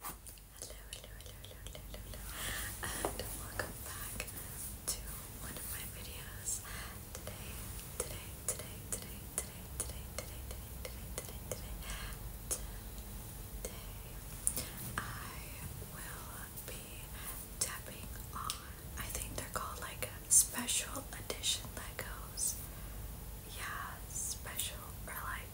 Hello, hello, hello, hello, hello, hello, and welcome back to one of my videos. Today, today, today, today, today, today, today, today, today, today, today, today, I will be tapping on. I think they're called like special edition Legos. Yeah, special or like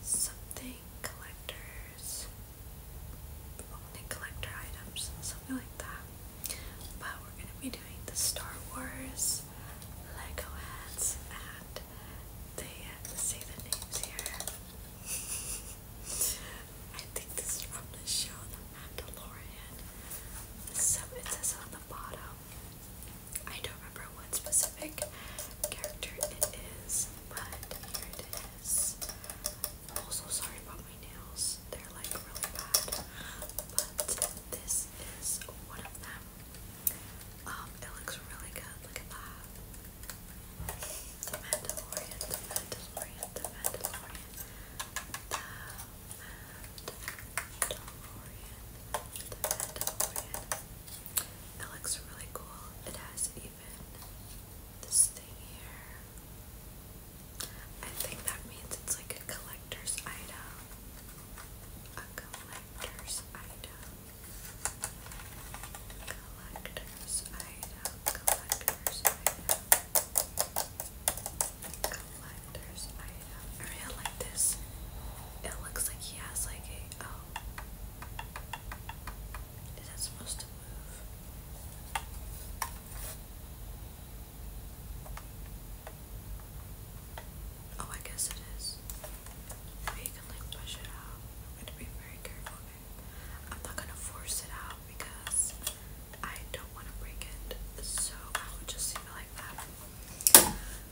something collectors, only collector items, something like that. But we're gonna be doing the Star Wars Lego heads, and they say the names here. I think this is from the The Mandalorian. So it says on the bottom I don't remember what specific character it is, but here it also sorry about my nails, they're like really bad, but this is one of them. Um, it looks really good, look at that. The Mandalorian, the Mandalorian, the Mandalorian, the Mandalorian, it looks really cool. It has even this thing here. I think that means it's like a collector's item. A collector's item. Collector's item. Collector's item. Collector's item. I really like this. It looks like he has like a. Oh, is that supposed to move? Oh, I guess it is. you can like push it out. I'm gonna be very careful I'm not gonna force it out because I don't want to break it. So I would just leave it like that.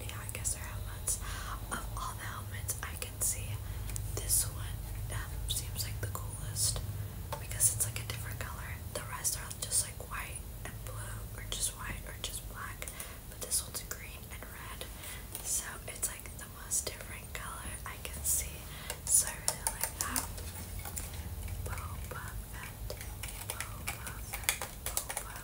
yeah, I guess they're helmets. Of all the helmets I can see, this one um, seems like the coolest because it's like a different color. The rest are just like white and blue, or just white, or just black. But this one's green and red, so it's like the most different color I can see. So I really like that. Boba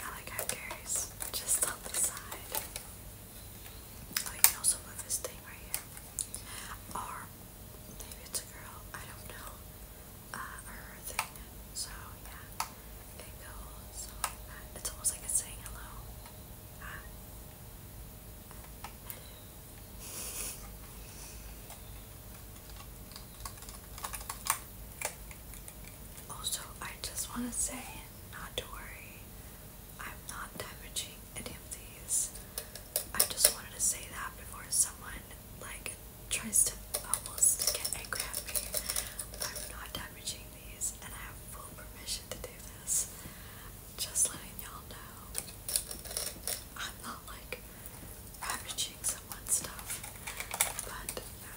I like how Gary's just on the side. Oh, you can also move this thing right here. Or maybe it's a girl, I don't know. Uh, or her thing. So, yeah. It goes It's almost like it's saying hello. Uh, also, I just want to say not to worry I'm not damaging any of these. I just wanted to say that before someone like tries to almost get angry at me. I'm not damaging these and I have full permission to do this. Just letting y'all know. I'm not like ravaging someone's stuff. But um,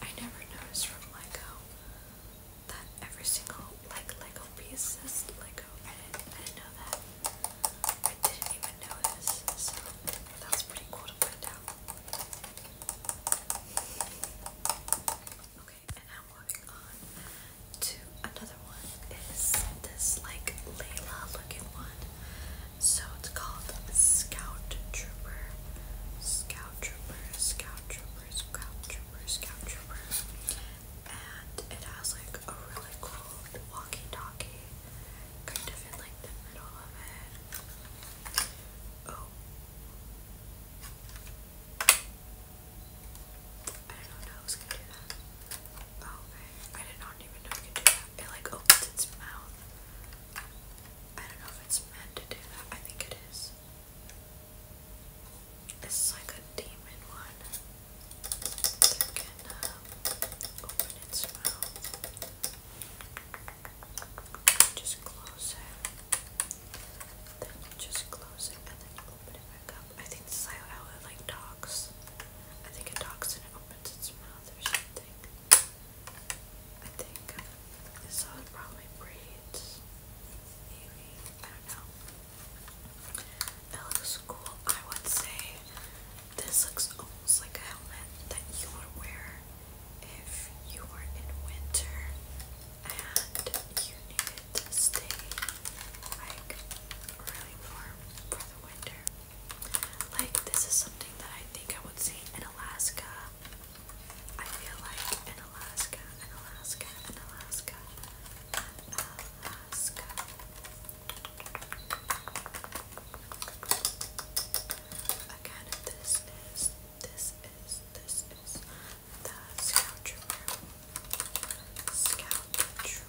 I never noticed from Lego that every single like Lego piece is Lego. I didn't, know that. I didn't even notice. So that pretty cool to find out. Okay, and now moving on to another one is this like Layla looking one. So it's called Scout Trooper, Scout Trooper, Scout Trooper, Scout Trooper, Scout Trooper. And it has like a really cool walkie-talkie kind of in like the middle of it. Oh. I don't know Okay, I did not even know you could do that. It like opens its mouth. I don't know if it's meant to do that. I think it is. It's like a demon one that can um, open its mouth. Just close it. Then just close it and then open it back up. I think this is how like talks. I think it talks and it opens its mouth or something. I think uh, this all probably breeds. Maybe. I don't know. It looks cool. I would say this looks almost like a helmet that you would wear if you were in winter and you needed to stay like really warm for the winter. Like, this is something that I think I would see in Alaska. I feel like in Alaska, in Alaska, in Alaska, Alaska. Again, this is, this is, this is the Scout Trooper. Scout Trooper.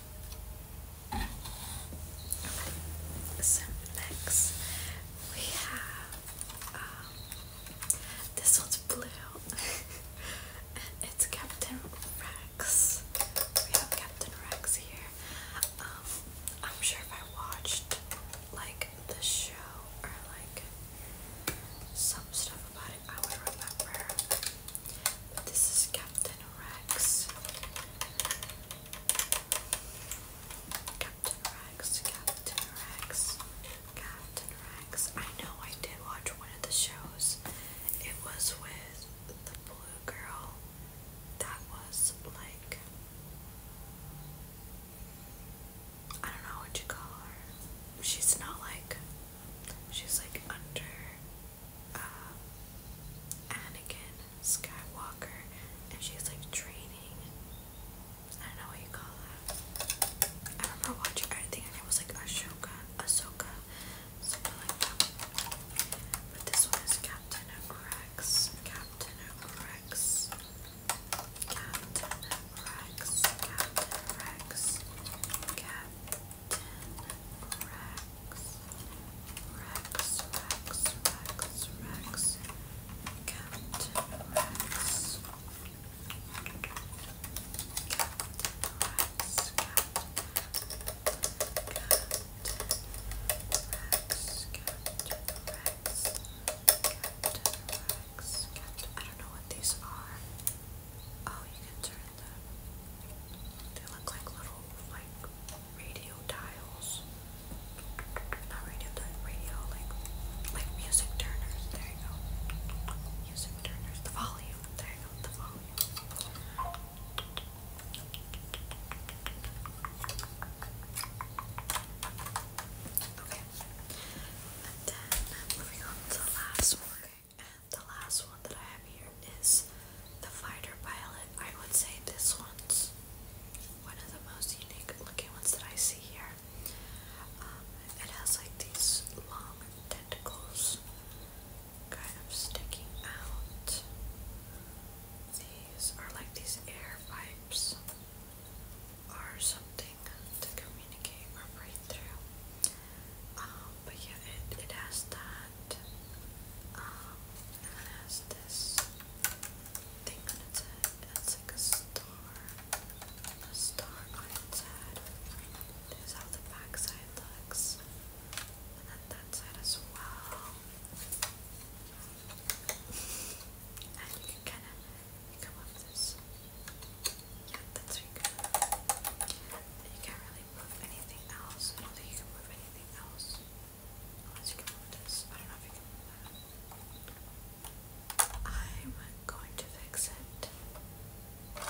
So next we have um, this one's blue and it's Captain Rex. We have Captain Rex here. Um, I'm sure if I watched like the show or like some stuff about it, I would remember. But this is Captain Rex. Captain Rex, Captain Rex, Captain Rex. I know I did watch one of the shows. It was with the blue girl that was like I don't know what you call her. She's not like she's like under uh, Anakin Skywalker, and she's like training. I don't know what you call that. I remember watching. I think it was like Ashoka, Ahsoka, something like that. But this one is Captain Rex. Captain Rex. Captain Rex. Captain Rex. Captain Rex. Rex, Rex, Rex, Rex, Captain Rex, Captain Rex, Captain, Captain Rex, Captain Rex, Captain Rex, Captain. I don't know what these are. Oh, you can turn them. They look like little like radio dials. Not radio dials, radio like like music turners. There you go. Music turners. The volume. There you go. The volume. Okay. And then moving on to the last one. Okay. And the last one that I have here is the fighter pilot. I would say this one's one of the most unique looking ones that I see here. Um, it has like these long tentacles kind of sticking out. These are like these air pipes or something to communicate or breathe through. Um, but yeah, it, it has that that. Um, and then has this thing on its head. It's like a star. A star on its head. This how the back looks. And then that side as well. And you can kind of come up this. Yeah, that's really good. You can't really move anything else. I don't think move anything else. I am going to fix it.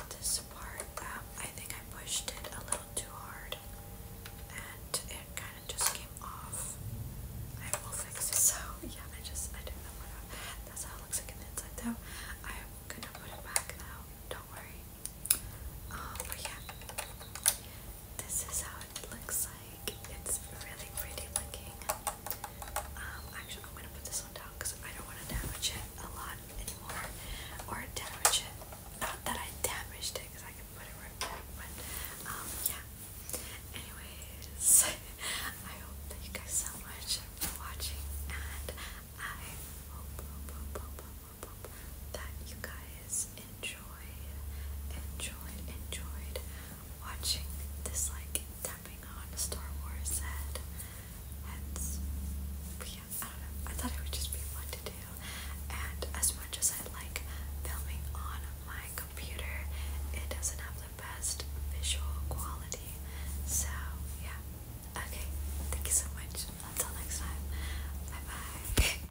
This part, um, I think I pushed it a little too hard and it kind of just came off. I will fix it. So, yeah, I just, I didn't know what That's how it looks like inside though. I'm gonna put it back now, don't worry. Um, but yeah, this is how it looks like it's really pretty looking. Um, actually, I'm gonna put this one down because I don't want to damage it a lot anymore, or damage it. Not that I damaged it, I can put it right back. But um, yeah. Anyways, I thank you guys so much for watching, and I hope that you guys enjoyed, enjoyed, enjoyed watching this tapping on Star Wars head. Hence, I don't know. I thought it would just be fun to do. And as much as I like filming on my computer, it doesn't have the best visual quality. So, yeah. Okay, thank you so much. Until next time. Bye bye.